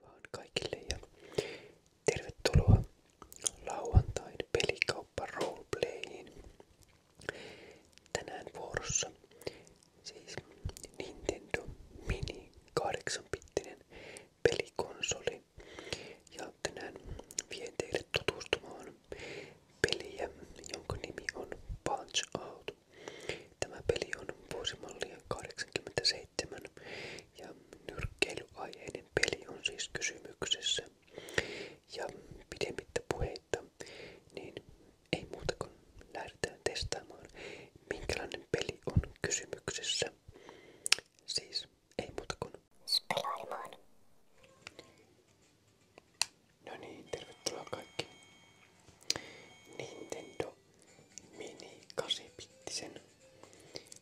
Moi vaan kaikille ja tervetuloa lauantain pelikauppa roleplayin. Tänään vuorossa siis Nintendo Mini 8-bittinen pelikonsoli. Ja tänään vien teille tutustumaan peliä, jonka nimi on Punch Out. Tämä peli on vuosimallia 87 7. Ja nyrkkeilyaiheinen peli on siis kysymyksessä. Ja pidemmittä puheitta, niin ei muuta kuin lähdetään testaamaan, minkälainen peli on kysymyksessä. Siis ei muuta kuin pelailemaan. No niin, tervetuloa kaikki. Nintendo mini 8-bittisen.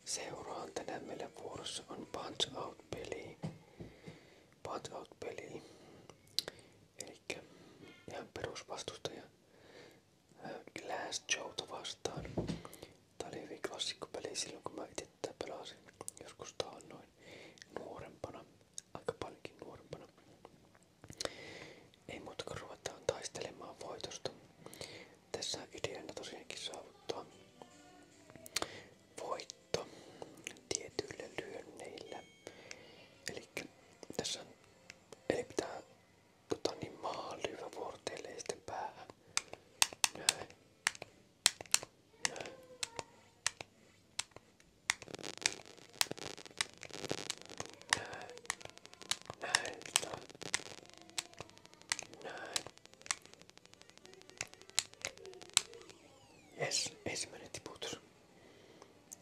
Seuraan tänään meillä vuorossa on Punch Out-peli. Punch Out-peli. Elikkä ihan perusvastustaja Glass Joe vastaan. Tää oli hyvin klassikkopeli silloin kun mä itse tätä pelasin. Joskus tää on noin nuorempana, aika paljonkin nuorempana. Ei muuta kuin ruvetaan taistelemaan voitosta. Tässä ideana tosiaankin saavuttaa voitto tietyillä lyönneillä. Eli tässä on, eli pitää tota niin, maa lyödä vuorteille ja sitten päähän. Näin. Näin näin, näin, näin. Jes, ensimmäinen tiputus.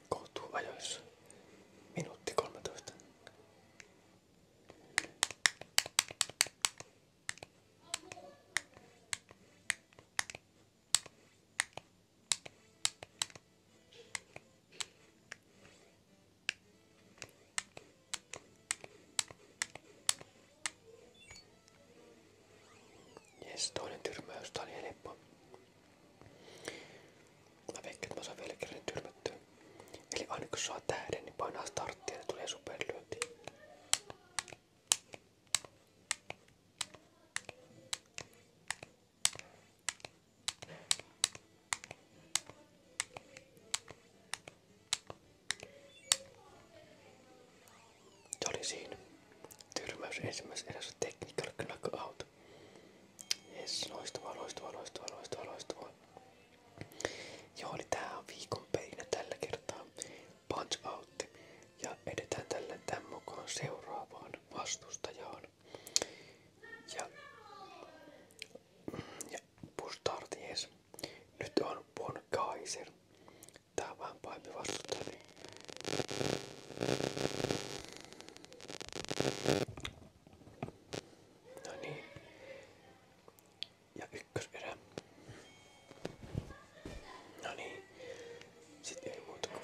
Koutuu ajoissa. Minuutti 13. Jes, toinen tyrmäys. Tää oli helppo. Mä veikkaan, että mä saan vielä kerran tyrmättyä. Eli aina kun saa tähden, niin painaa starttia ja niin tulee superlyönti. Se oli siinä. Tyrmäys ensimmäisessä erässä technical knockout. Jes, loistavaa, loistavaa, loistavaa, loistavaa, loistavaa. Joo, niin tällä kertaa. Punch Ja edetään tällä tämän mukaan seuraavaan vastustajaan. Ja, ja Pustarties. Nyt on Von Kaiser. Tää on vähän pahempi vastustaja. Niin. No niin. Ja ykköserä. No niin. Sitten ei muuta kuin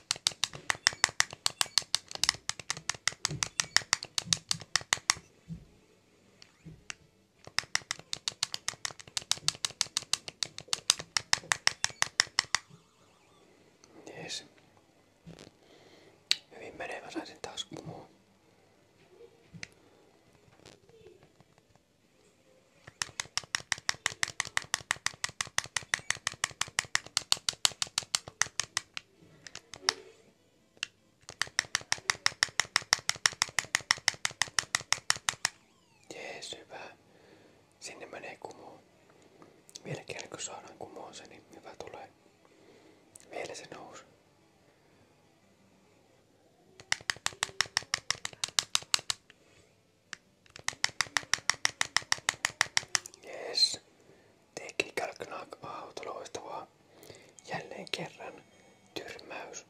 Jees. Hyvin menee, mä sain sen taas kumoon. Jees, hyvä. Sinne menee kumoon. Vielä kerran kun saadaan kumoon se, niin hyvä tulee. Vielä se nousi. Jes, teki Kalknaak auto loistavaa. Jälleen kerran tyrmäys.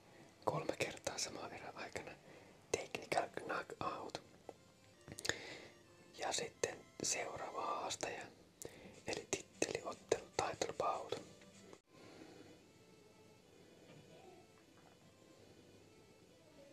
Kolme kertaa samaa erän aikana. Technical knock out. Ja sitten seuraava haastaja. Eli titteliottelu title bout.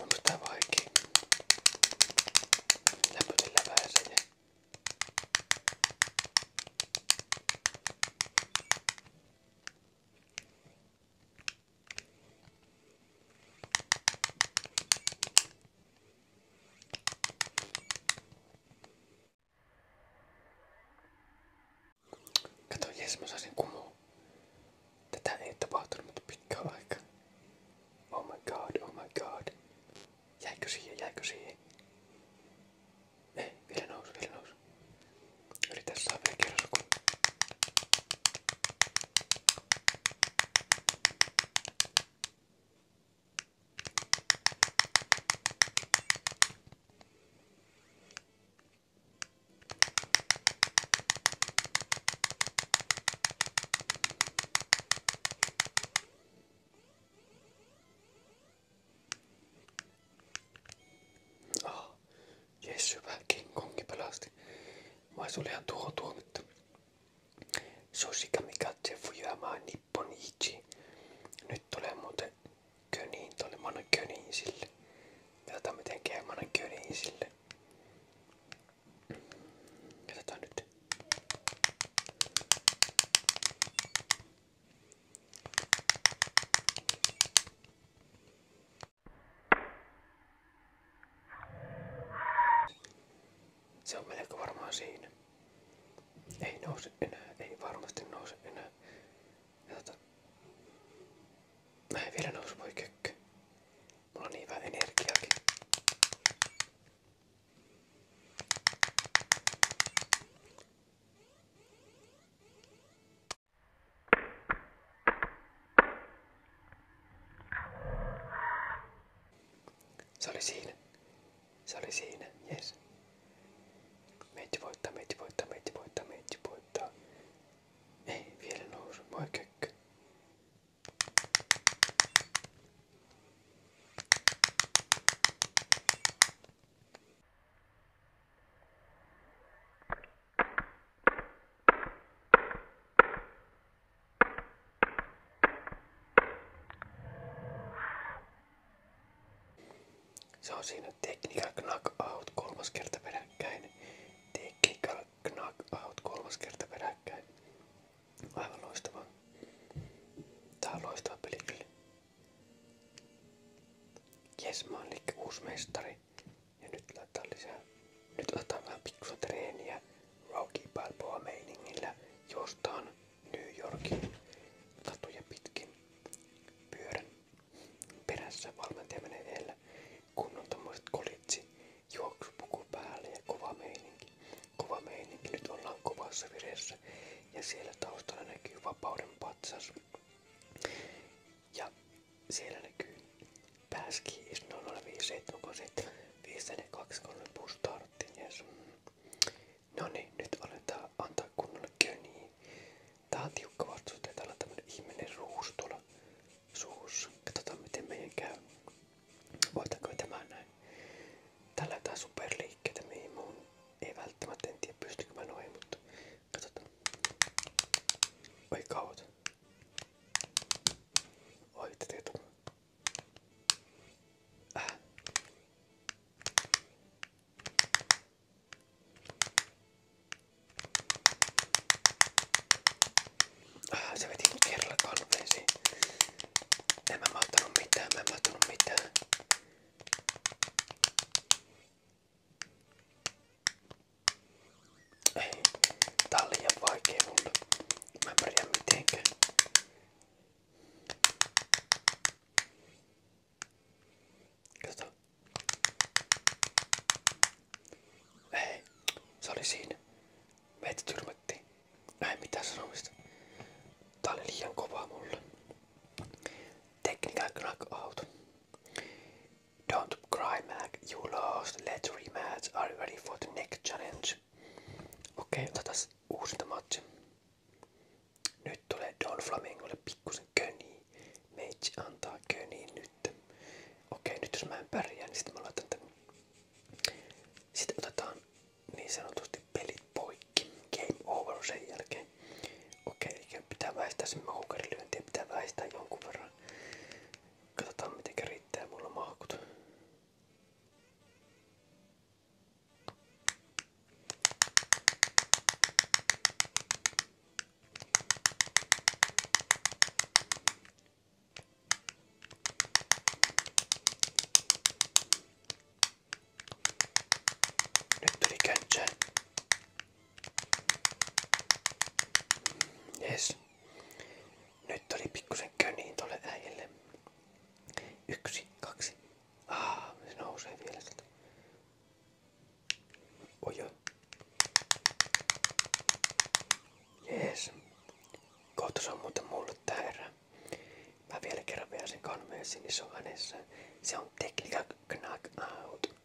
Onko tää vaikee? Lämpötellä vähän sen ja... Tää Kato, jes mä saisin kumoa. Tätä ei tapahtunut mutta pitkään aikaa. Oh my god, oh my god. Jäikö siihen, jäikö siihen? Ei, eh, vielä nousu, vielä nousu. Yritä saada vielä kerrosukun. Oh, jes hyvä, King Kongi pelasti. Vai se oli Susi Kamikaze Fujama Nipponichi. Nyt tulee muuten köniin tonne. Mä annan köniin sille. Katsotaan miten käy. Mä annan köniin sille. Katsotaan nyt. Se on melko varmaan siinä. Ei nouse enää, ei varmasti nouse enää. Ja tota, mä en vielä nousu voi kökkö. Mulla on niin vähän energiaakin. Se oli siinä. Se oli siinä. Yes. Meitsi voittaa, meitsi voittaa, meitsi voittaa, meitsi voittaa. Ei, vielä nousu. Moi kökkö. Se on siinä Technical Knockout kolmas kerta peräkkäin. Technical Knockout kolmas kerta peräkkäin. Aivan loistava. Tää uusi mestari. Ja nyt laitetaan lisää. Nyt otetaan vähän pikkusen treeniä Rocky Balboa meiningillä. Jostaan New Yorkin katuja pitkin pyörän perässä valmentaja menee edellä. Kunnon tommoset kolitsi, juoksupuku päälle ja kova meininki. Kova meininki, nyt ollaan kovassa vireessä ja siellä taustalla näkyy vapauden patsas. Ja siellä näkyy pääski 0057542 puustartti. Yes. No niin, nyt aletaan antaa kunnolla köniin. Tää on tiukka vastus, että täällä on tämmönen ihminen ruus tuolla suussa. Katsotaan miten meidän käy. me tämä näin? Täällä on jotain superliikkeitä, mihin mun ei välttämättä en tiedä pystykö mä noihin, mutta Katsotaan. Oi kauat. Oi, te teet äh. äh, se veti mut kerralla kalpeisiin. En mä maattanut mitään, mä en maattanut mitään. Ei, tää on liian vaikee mulle. Mä en pärjää mitenkään. Kato. Ei, se oli siinä. Meitä tyrmättiin. Ei mitään sanomista. Tää oli liian kovaa mulle. Tekniikka auto. Don't cry, Mac. You lost. Let's rematch. Are you ready for the next challenge? Okei, okay, otetaan uusinta matchi. Nyt tulee Don Flamingolle pikkusen köniä. Meitsi antaa köniä nyt. Okei, okay, nyt jos mä en pärjää, niin sitten mä laitan tämän. Sitten otetaan niin sanotusti pelit poikki. Game over sen jälkeen. Okei, okay, pitää väistää sen mahukärilyöntiä, pitää väistää jonkun verran. Katsotaan miten riittää mulla mahkut. Nyt tuli käntsään. Jes. Nyt oli pikkusen köniin tolle äijälle. Yksi, kaksi. Ah, se nousee vielä sieltä. Ojo. Jees. Kohta se on muuten mulle tää erä. Mä vielä kerran vielä sen kanveessin, niin se on Se on tekniikka knack out.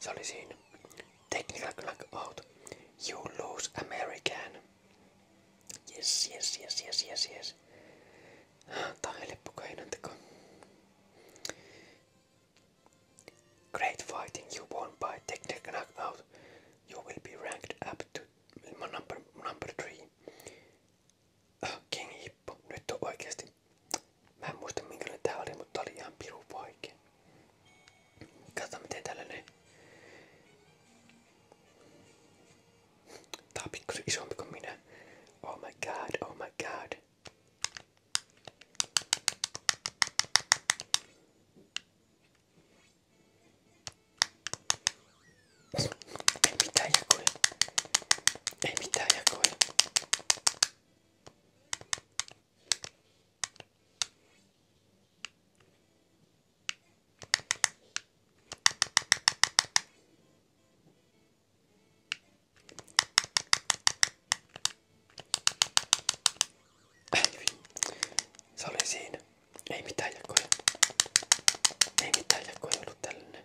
Sali siinä. Technical out. You lose American. Yes, yes, yes, yes, yes, yes. Tää on teko. Great fighting you won by technical out. You will be ranked up to number, number three. Ah, King Hippo. Nyt on oikeesti. Mä en muista minkälainen mutta oli ihan piru Katsotaan miten täällä ne... Tää on pikkusen isompi kuin minä. Oh my god, oh my god. Ei mitään jakoja. Ei mitään jakoja. Se oli siinä. Ei mitään jakoja. Ei mitään jakoja ollut tällainen.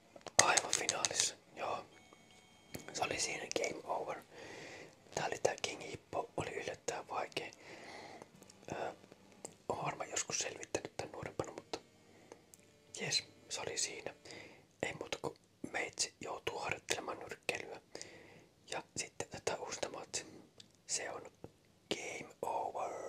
aivan finaalissa. Joo. Se oli siinä game over. Tää oli tää King Hippo, oli yllättäen vaikea. Öö, Oon varmaan joskus selvittänyt tän nuorempana, mutta jes, se oli siinä. Ei muuta kuin meitsi joutuu harjoittelemaan nyrkkeilyä. Ja sitten tätä uusta matsi. Se on game over.